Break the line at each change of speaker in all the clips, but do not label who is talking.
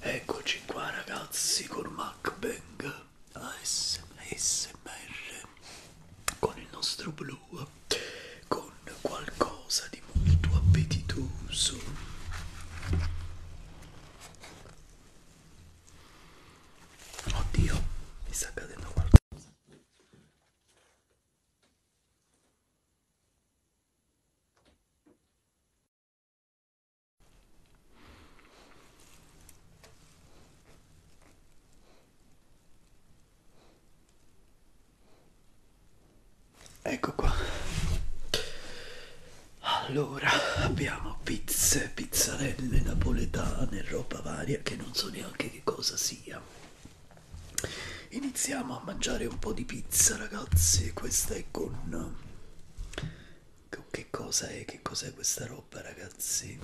Eccoci qua ragazzi con MacBang ASMR con il nostro blu con qualcosa di molto appetitoso Oddio mi sta cadendo qualcosa Ecco qua. Allora abbiamo pizze, pizzarelle napoletane, roba varia che non so neanche che cosa sia. Iniziamo a mangiare un po' di pizza, ragazzi. Questa è con che cosa è che cos'è questa roba ragazzi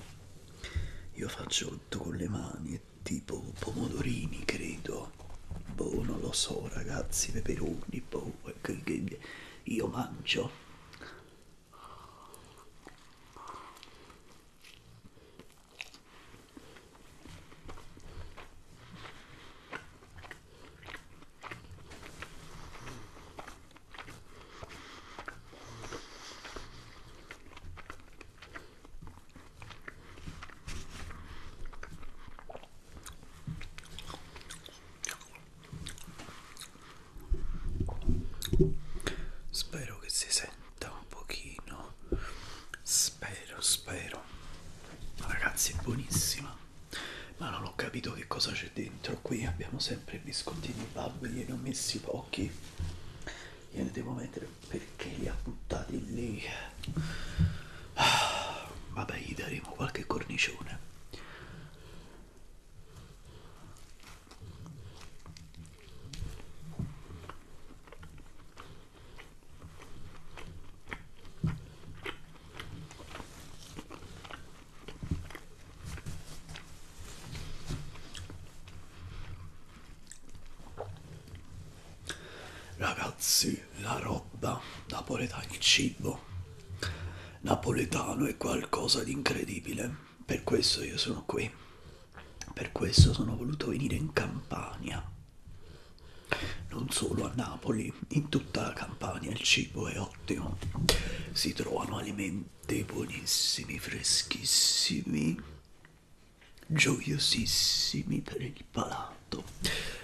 io faccio tutto con le mani è tipo pomodorini credo boh non lo so ragazzi peperoni boh io mangio Spero che si senta un pochino. Spero, spero. Ragazzi, è buonissima ma non ho capito che cosa c'è dentro qui abbiamo sempre biscottini babbi gliene ho messi pochi gliene devo mettere perché li ha buttati lì ah, vabbè gli daremo qualche cornicione Ragazzi, la roba napoletana, il cibo napoletano è qualcosa di incredibile, per questo io sono qui, per questo sono voluto venire in Campania non solo a Napoli, in tutta la Campania il cibo è ottimo. Si trovano alimenti buonissimi, freschissimi, gioiosissimi per il palato.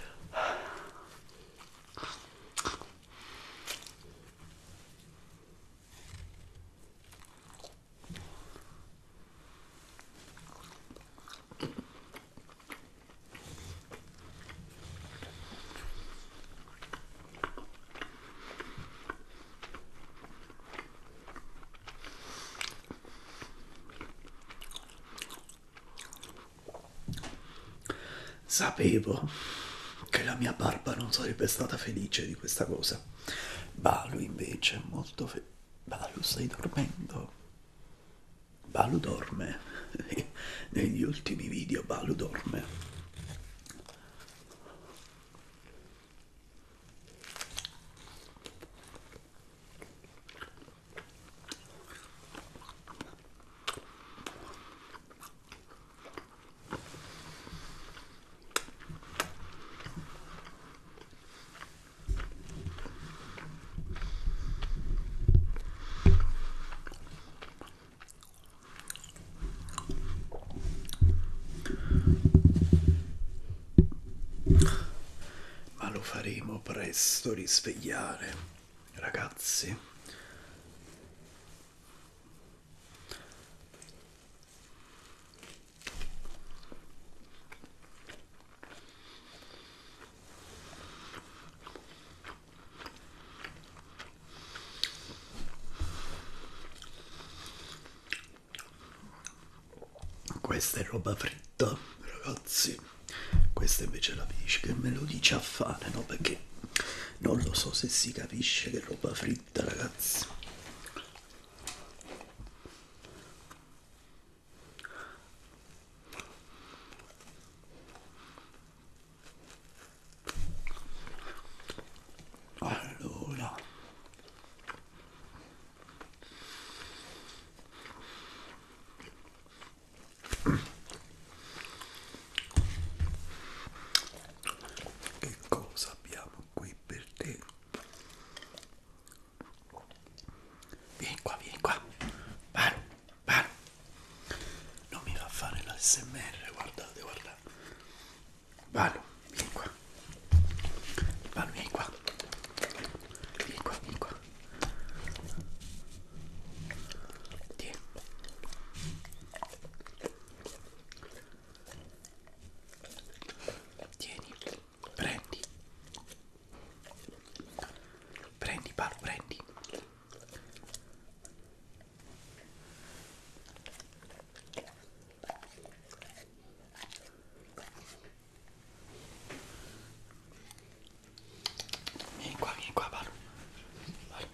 Sapevo che la mia barba non sarebbe stata felice di questa cosa. Balu invece è molto felice. Balu stai dormendo? Balu dorme, negli ultimi video Balu dorme ma lo faremo presto risvegliare ragazzi questa è roba fritta, ragazzi. Questa invece è la bici che me lo dice a fare, no? Perché non lo so se si capisce che roba fritta, ragazzi. Allora. Che cosa abbiamo qui per te? Vieni qua, vieni qua. Paro, paro. Non mi fa fare la SMR, guardate, guardate. Valo, vieni qua. Valo, vieni qua. Vieni qua, vieni qua. Tieni. Tieni, prendi. Prendi Paolo, prendi. Vieni qua, vieni qua Paolo. Paolo.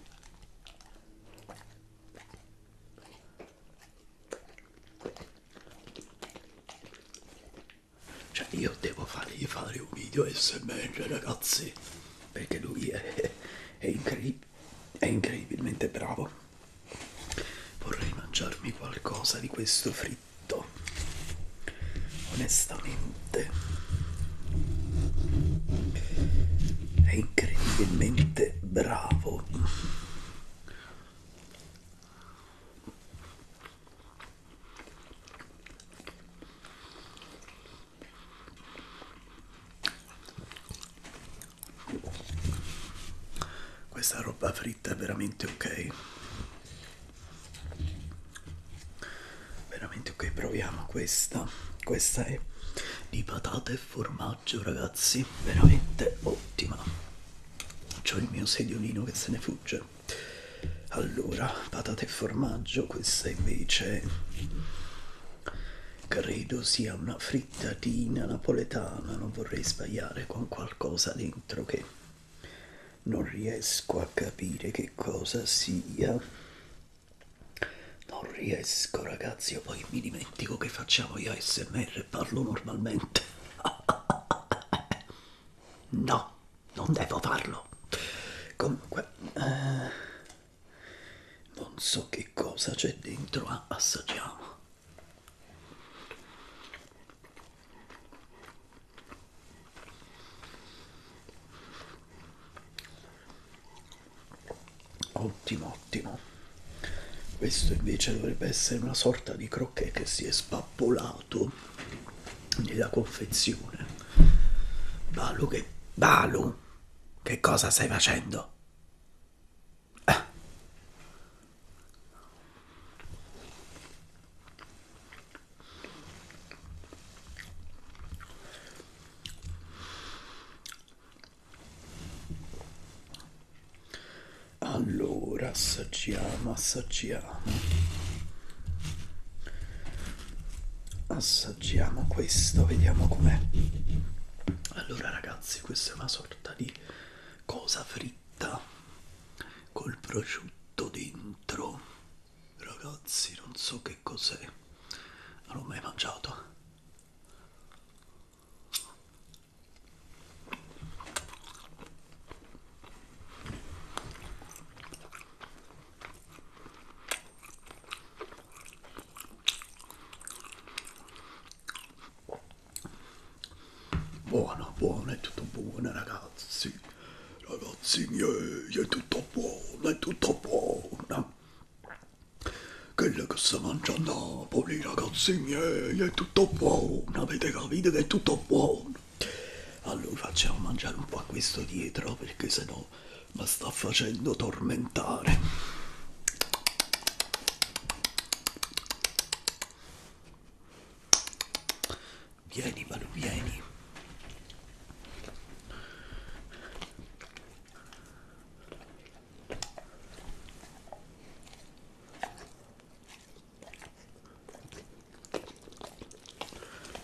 Cioè io devo fargli fare un video sms ragazzi, perché lui è, è, incredib è incredibilmente bravo. Vorrei mangiarmi qualcosa di questo fritto, onestamente. È incredibilmente bravo. Questa roba fritta è veramente ok. Veramente ok, proviamo questa. Questa è di patate e formaggio, ragazzi. Veramente ottima. C'ho il mio sedionino che se ne fugge allora patate e formaggio questa invece credo sia una frittatina napoletana non vorrei sbagliare con qualcosa dentro che non riesco a capire che cosa sia non riesco ragazzi io poi mi dimentico che facciamo gli ASMR parlo normalmente no non devo farlo. Comunque, eh, non so che cosa c'è dentro, ah, assaggiamo. Ottimo, ottimo. Questo invece dovrebbe essere una sorta di croquet che si è spappolato nella confezione. Balu che... Balu, che cosa stai facendo? Eh. Allora assaggiamo, assaggiamo assaggiamo questo vediamo com'è allora ragazzi questa è una sorta di cosa fritta col prosciutto dentro ragazzi non so che cos'è non l'ho mai mangiato buona buona è tutto buona ragazzi ragazzi miei è tutto buona è tutto buona quella che sta mangiando a Napoli ragazzi miei è tutto buona avete capito che è tutto buona allora facciamo mangiare un po' a questo dietro perché sennò mi sta facendo tormentare vieni Manu vieni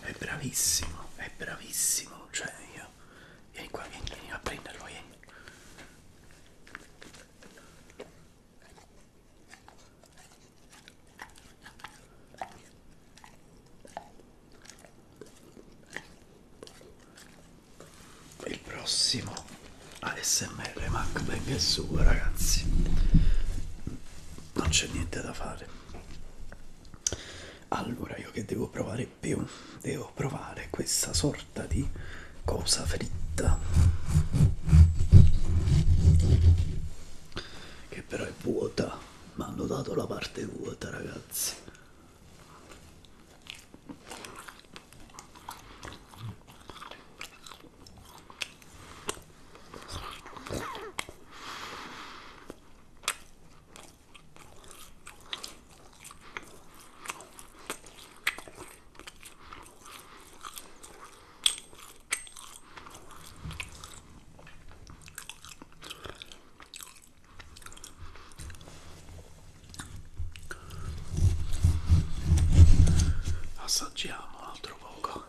è bravissimo, è bravissimo, cioè io vieni qua, vieni, vieni a prenderlo, vieni. Il prossimo ASMR MacBang è suo ragazzi non c'è niente da fare allora io che devo provare più devo provare questa sorta di cosa fritta che però è vuota mi hanno dato la parte vuota ragazzi assaggiamo un altro poco buoni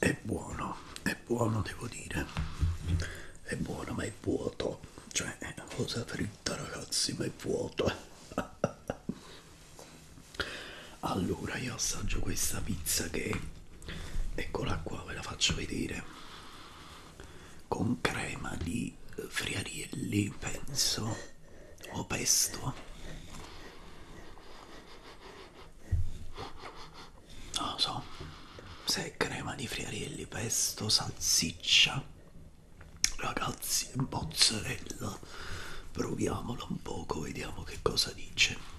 è buono è buono devo dire è buono ma è vuoto cioè cosa fritta ragazzi ma è vuoto allora io assaggio questa pizza che eccola qua ve la faccio vedere con crema di friarielli penso o pesto non lo so se è crema di friarielli pesto salsiccia Ragazzi, mozzarella, proviamola un poco, vediamo che cosa dice.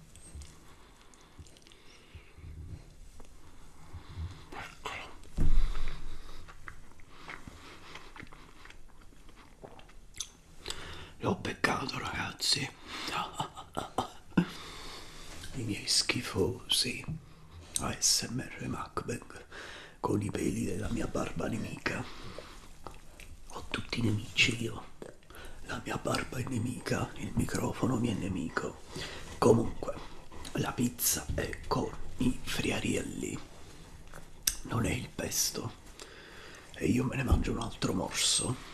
Eccolo. L'ho beccato ragazzi. I miei schifosi ASMR Macbeth con i peli della mia barba nemica. Ho tutti i nemici io. La mia barba è nemica, il microfono mi è nemico. Comunque, la pizza è con i friarielli, non è il pesto. E io me ne mangio un altro morso.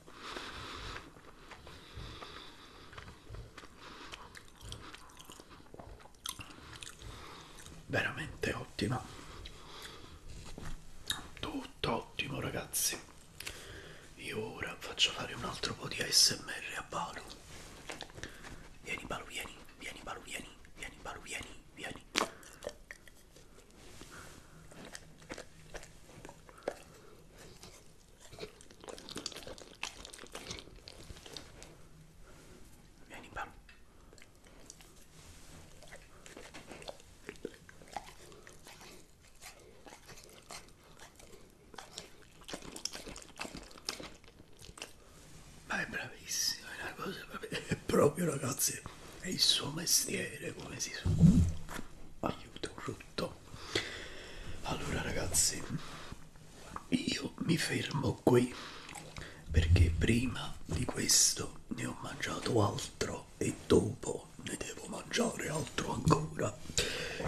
veramente ottima tutto ottimo ragazzi io ora faccio fare un altro po' di ASMR a Balu vieni Balu vieni vieni Balu vieni vieni Balu vieni vieni Vieni qua. Ma è bravissimo, è una cosa è proprio ragazzi, è il suo mestiere come si suona. Aiuto, frutto allora ragazzi io mi fermo qui perché prima di questo ne ho mangiato altro e dopo ne devo mangiare altro ancora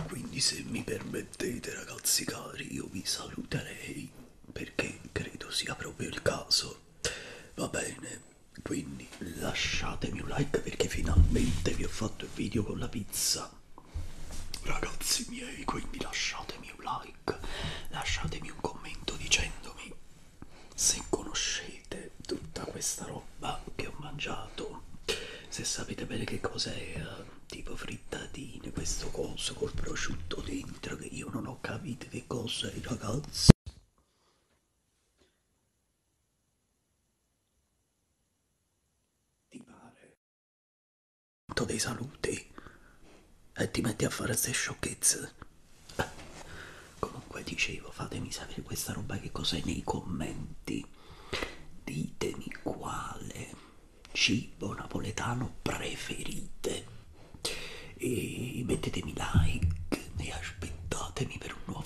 quindi se mi permettete ragazzi cari io vi saluterei perché credo sia proprio il caso va bene quindi lasciatemi un like perché finalmente vi ho fatto il video con la pizza. Ragazzi miei, quindi lasciatemi un like, lasciatemi un commento dicendomi se conoscete tutta questa roba che ho mangiato, se sapete bene che cos'è, eh, tipo frittatine, questo coso col prosciutto dentro che io non ho capito che cos'è ragazzi. Ti pare? Dei saluti e ti metti a fare queste sciocchezze. Comunque dicevo, fatemi sapere questa roba che cos'è nei commenti. Ditemi quale cibo napoletano preferite. E mettetemi like e aspettatemi per un nuovo